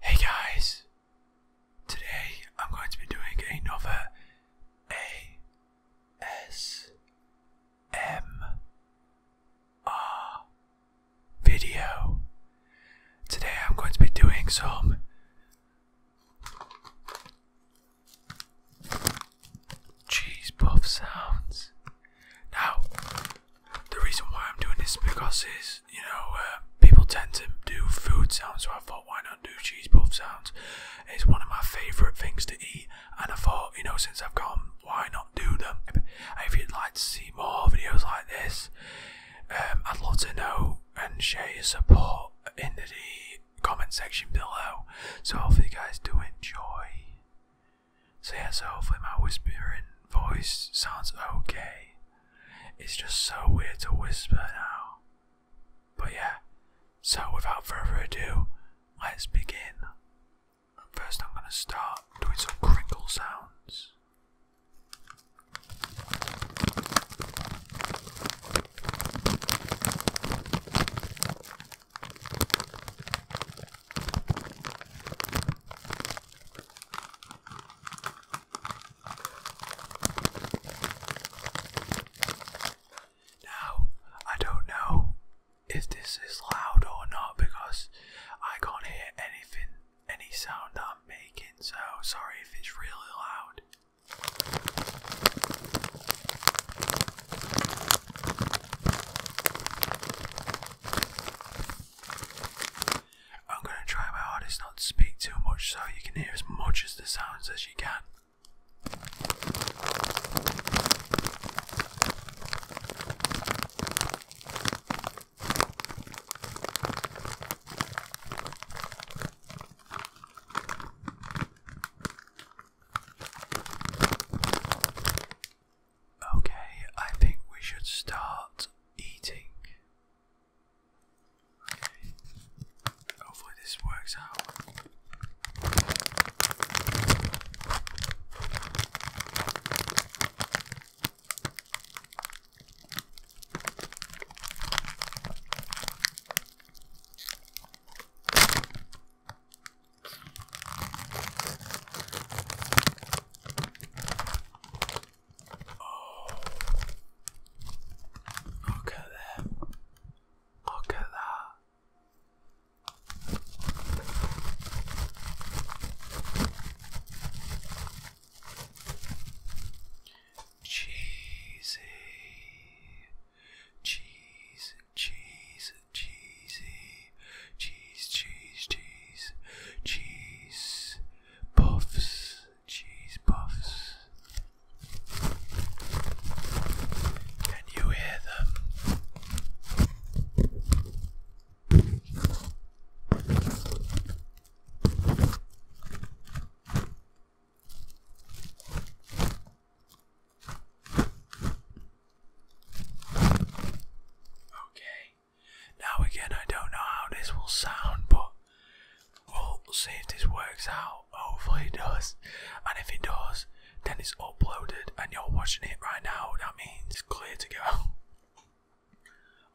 Hey guys, today I'm going to be doing another ASMR video. Today I'm going to be doing some cheese puff sounds. Now, the reason why I'm doing this because is you know uh, people tend to do food sounds, so I thought why not do cheese puff sounds? It's one of my favourite things to eat, and I thought you know since I've gone, why not do them? if you'd like to see more videos like this, um, I'd love to know and share your support in the comment section below. So hopefully you guys do enjoy. So yeah, so hopefully my whispering voice sounds okay. It's just so weird to whisper now. But yeah, so without further ado, let's begin. First I'm gonna start doing some crinkle sounds. Now, I don't know if this is loud or not because I can't hear anything, any sound I'm making, so sorry if it's really loud. I'm going to try my hardest not to speak too much so you can hear as much of the sounds as you can. Okay, I think we should start eating. Hopefully, this works out. Oh, look at that! Look at that! Cheesy, cheese, cheese, cheesy, cheese, cheese, cheese, cheese puffs, cheese puffs. Can you hear them? Okay. Now again, I don't know how this will sound, but we'll see if this works out. Hopefully it does. And if it does, then it's uploaded and you're watching it right now. That means clear to go.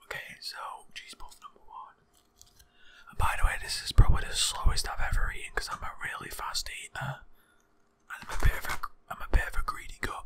Okay, so cheese number one. by the way, this is probably the slowest I've ever eaten because I'm a really fast eater. And I'm a bit of a, I'm a bit of a greedy gut.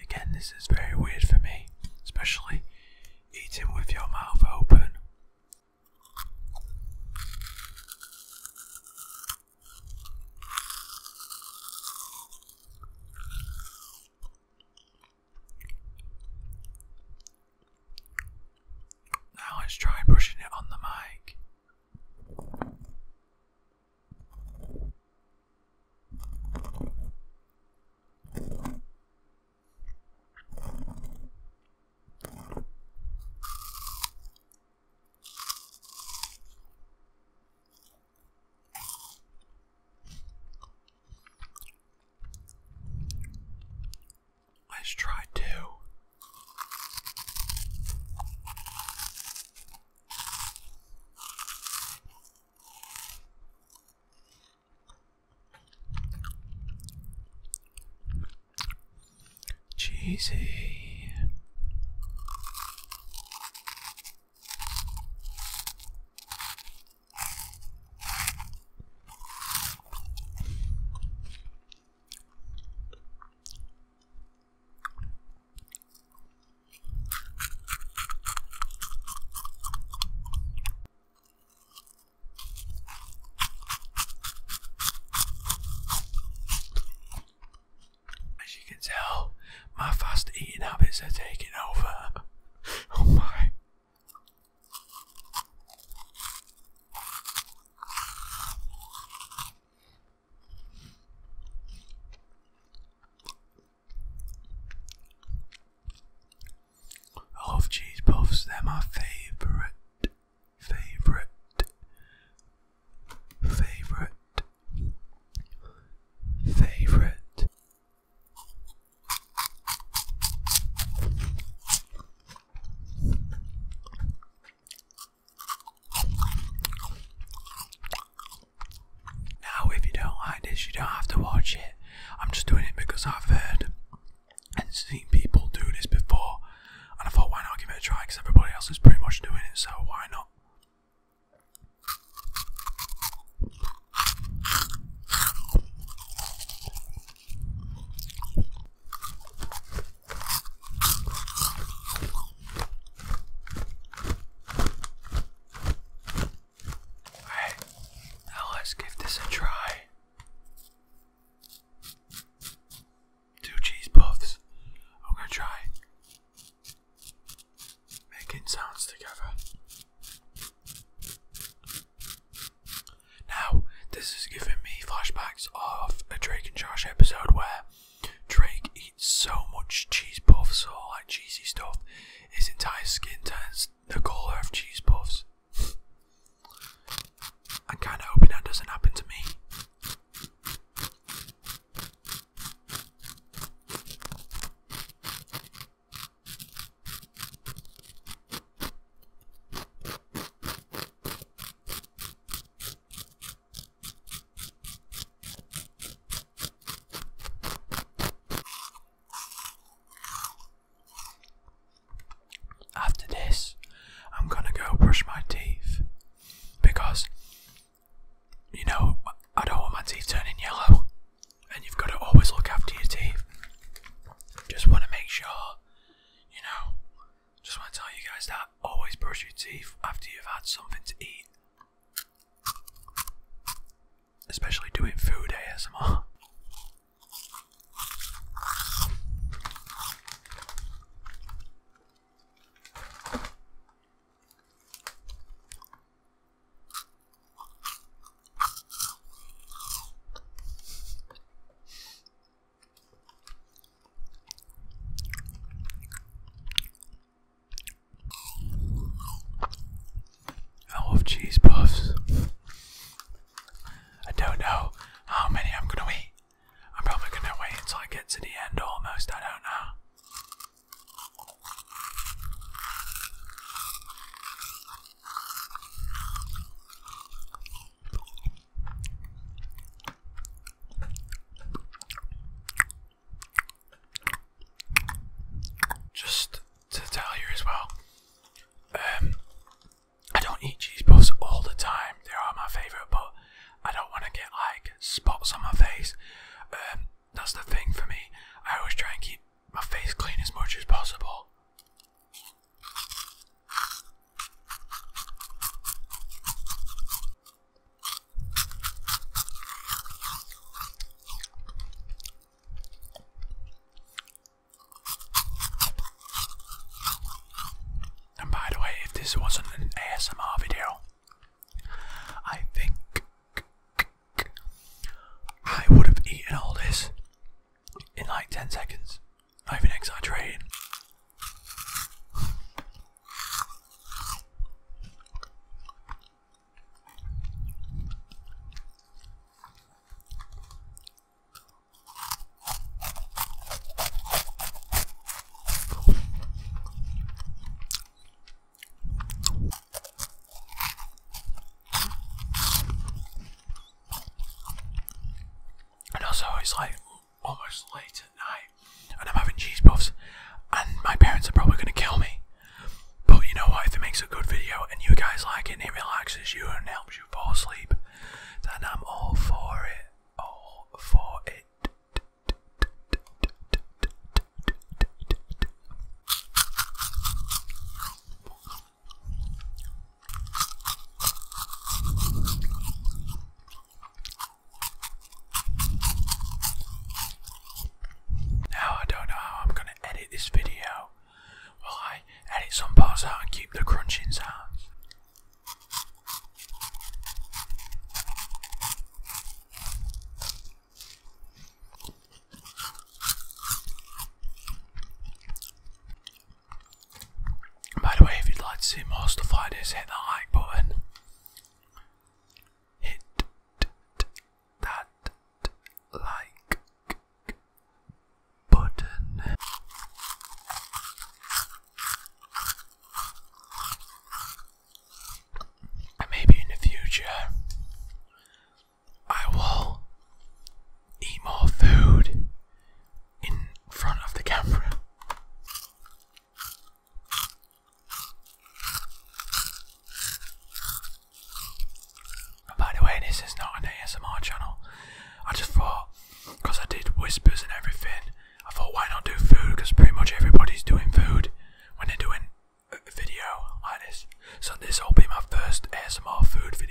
Again, this is very weird for me, especially eating with your mouth open. Now let's try brushing it on the mic. Nice try, too. Cheesy. As you can tell, my fast eating habits are taking over. oh my. I love cheese puffs, they're my favourite, favourite, favourite, favourite. Now, if you don't like this, you don't have to watch it. I'm just doing it because I've heard and seen people do this before, and I thought, why not give it a try? Because everybody else is pretty much doing it, so why not? Alright, now let's give this a try. Two cheese puffs. I'm gonna try making sounds together. Now, this is giving me flashbacks of a Drake and Josh episode where Drake eats so much cheese puffs or like cheesy stuff, his entire skin turns the colour of cheese puffs. I'm kind of hoping that doesn't happen to me. After this, I'm gonna go brush my teeth because you know I don't want my teeth turning yellow and you've got to always look after your teeth. Just want to make sure, you know, just want to tell you guys that always brush your teeth after you've had something to eat. Especially doing food ASMR. I love cheese puffs. I don't know how many I'm gonna eat. I'm probably gonna wait until I get to the end almost, I don't know. Just to tell you as well, um, I don't eat cheese balls all the time. They are my favourite, but I don't want to get like spots on my face. Um, that's the thing for me. I always try and keep my face clean as much as possible. And by the way, if this wasn't an ASMR video, I think I would have eaten all this in like 10 seconds. I've been exaggerating. And also, it's like almost late at night, and I'm having cheese puffs, and my parents are probably going to kill me. But you know what? If it makes a good video and you guys like it and it relaxes you and helps you fall asleep, then I'm all for it. All for it. Now I don't know how I'm going to edit this video. Will I edit some parts out and keep the crunching sounds? By the way, if you'd like to see more stuff like this, hit the like button. Hit that like button maybe in the future, I will eat more food in front of the camera. by the way, this is not an ASMR channel. I just thought, because I did whispers and everything, I thought why not do food because pretty much everybody's doing food when they're doing video like this. So this will be my first ASMR food video.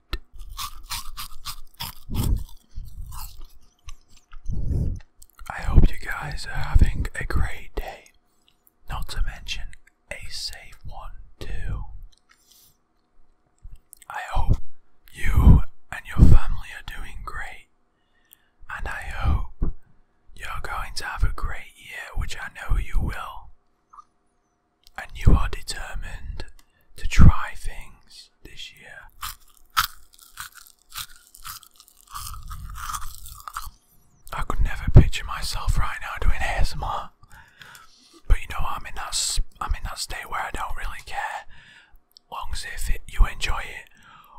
I hope you guys are having a great day, not to mention a safe one, too. I hope you and your family are doing great, and I hope you're going to have a great year, which I know you will and you are determined to try things this year. I could never picture myself right now doing ASMR, but you know I'm in that I'm in that state where I don't really care, long as if you enjoy it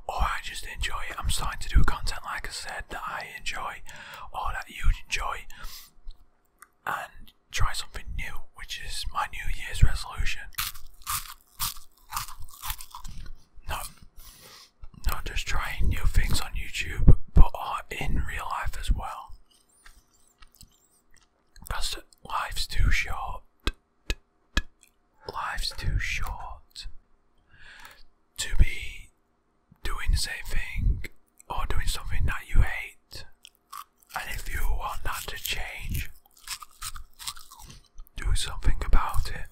or I just enjoy it. I'm starting to do content like I said that I enjoy or that you enjoy and try something new, which is my New Year's resolution. Not, not just trying new things on YouTube, but in real life as well. Because life's too short. Life's too short to be doing the same thing or doing something that you hate and if you want that to change, do something about it.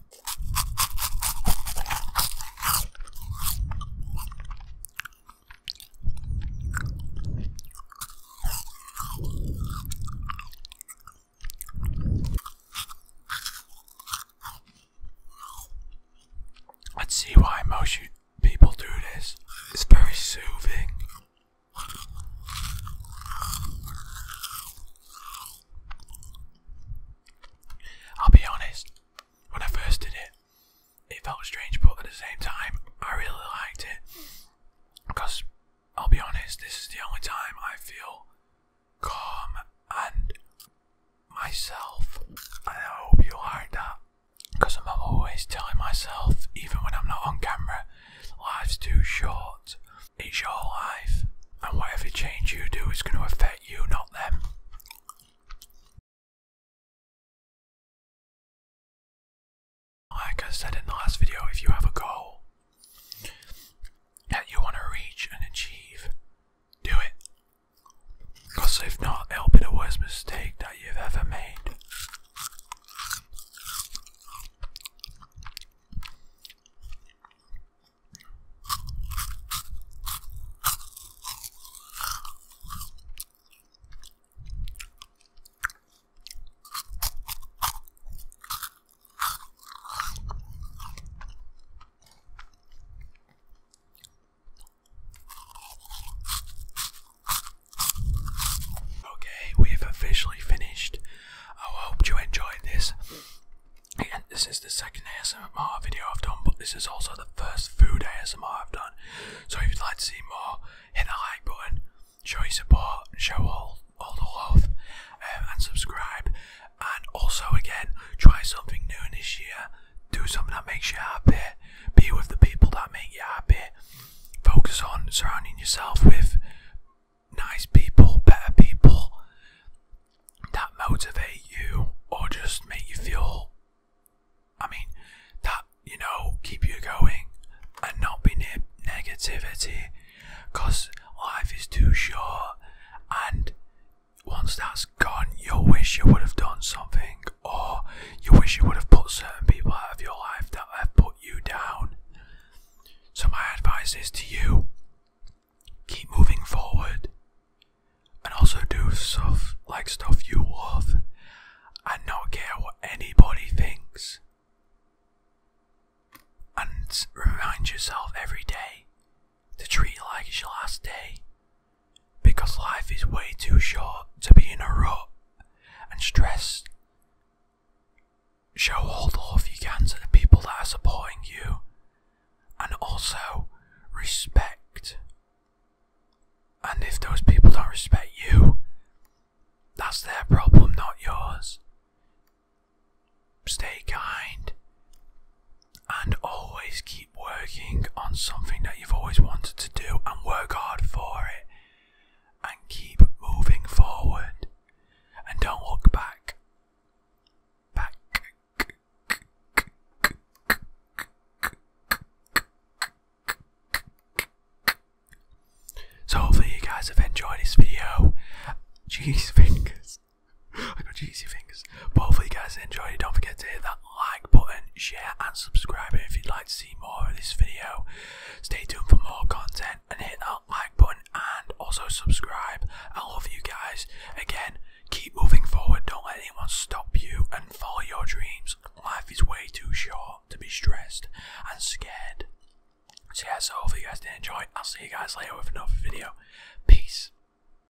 Let's see why most people do this. It's very soothing. I'll be honest, when I first did it, it felt strange, but at the same time, I really liked it. Because, I'll be honest, this is the only time I feel calm and myself. I hope you like that because I'm always telling myself, even when I'm not on camera, life's too short. It's your life, and whatever change you do is going to affect you, not them. Like I said in the last video, if you have a goal that you want to reach and achieve, do it. Because if not, it'll be the worst mistake that you've ever made. Okay, we've officially finished. I hope you enjoyed this. this is the second ASMR video I've done, but this is also the first food ASMR I've done. So if you'd like to see more, hit the like button, show your support, show all, all the love, um, and subscribe. And also, again, try something new this year do something that makes you happy, be with the people that make you happy, focus on surrounding yourself with nice people, better people that motivate you or just make you feel, I mean, that, you know, keep you going and not be near negativity because life is too short and once that's gone, you'll wish you would have done something, or you wish you would have put certain people out of your life that have put you down. So, my advice is to you keep moving forward and also do stuff like stuff you love and not care what anybody thinks. And remind yourself every day to treat life as your last day because life is way too short to be in a rut and stressed. Show all the love you can to the people that are supporting you and also respect. And if those people don't respect you, that's their problem, not yours. Stay kind, and always keep working on something that you've always wanted to do and work hard for it and keep moving forward and don't look back back so hopefully you guys have enjoyed this video. Jeez fingers. I got juicy fingers. But hopefully, you guys enjoyed it. Don't forget to hit that like button, share, and subscribe. if you'd like to see more of this video, stay tuned for more content and hit that like button and also subscribe. I love you guys. Again, keep moving forward. Don't let anyone stop you and follow your dreams. Life is way too short to be stressed and scared. So, yeah, so hopefully, you guys did enjoy. I'll see you guys later with another video. Peace.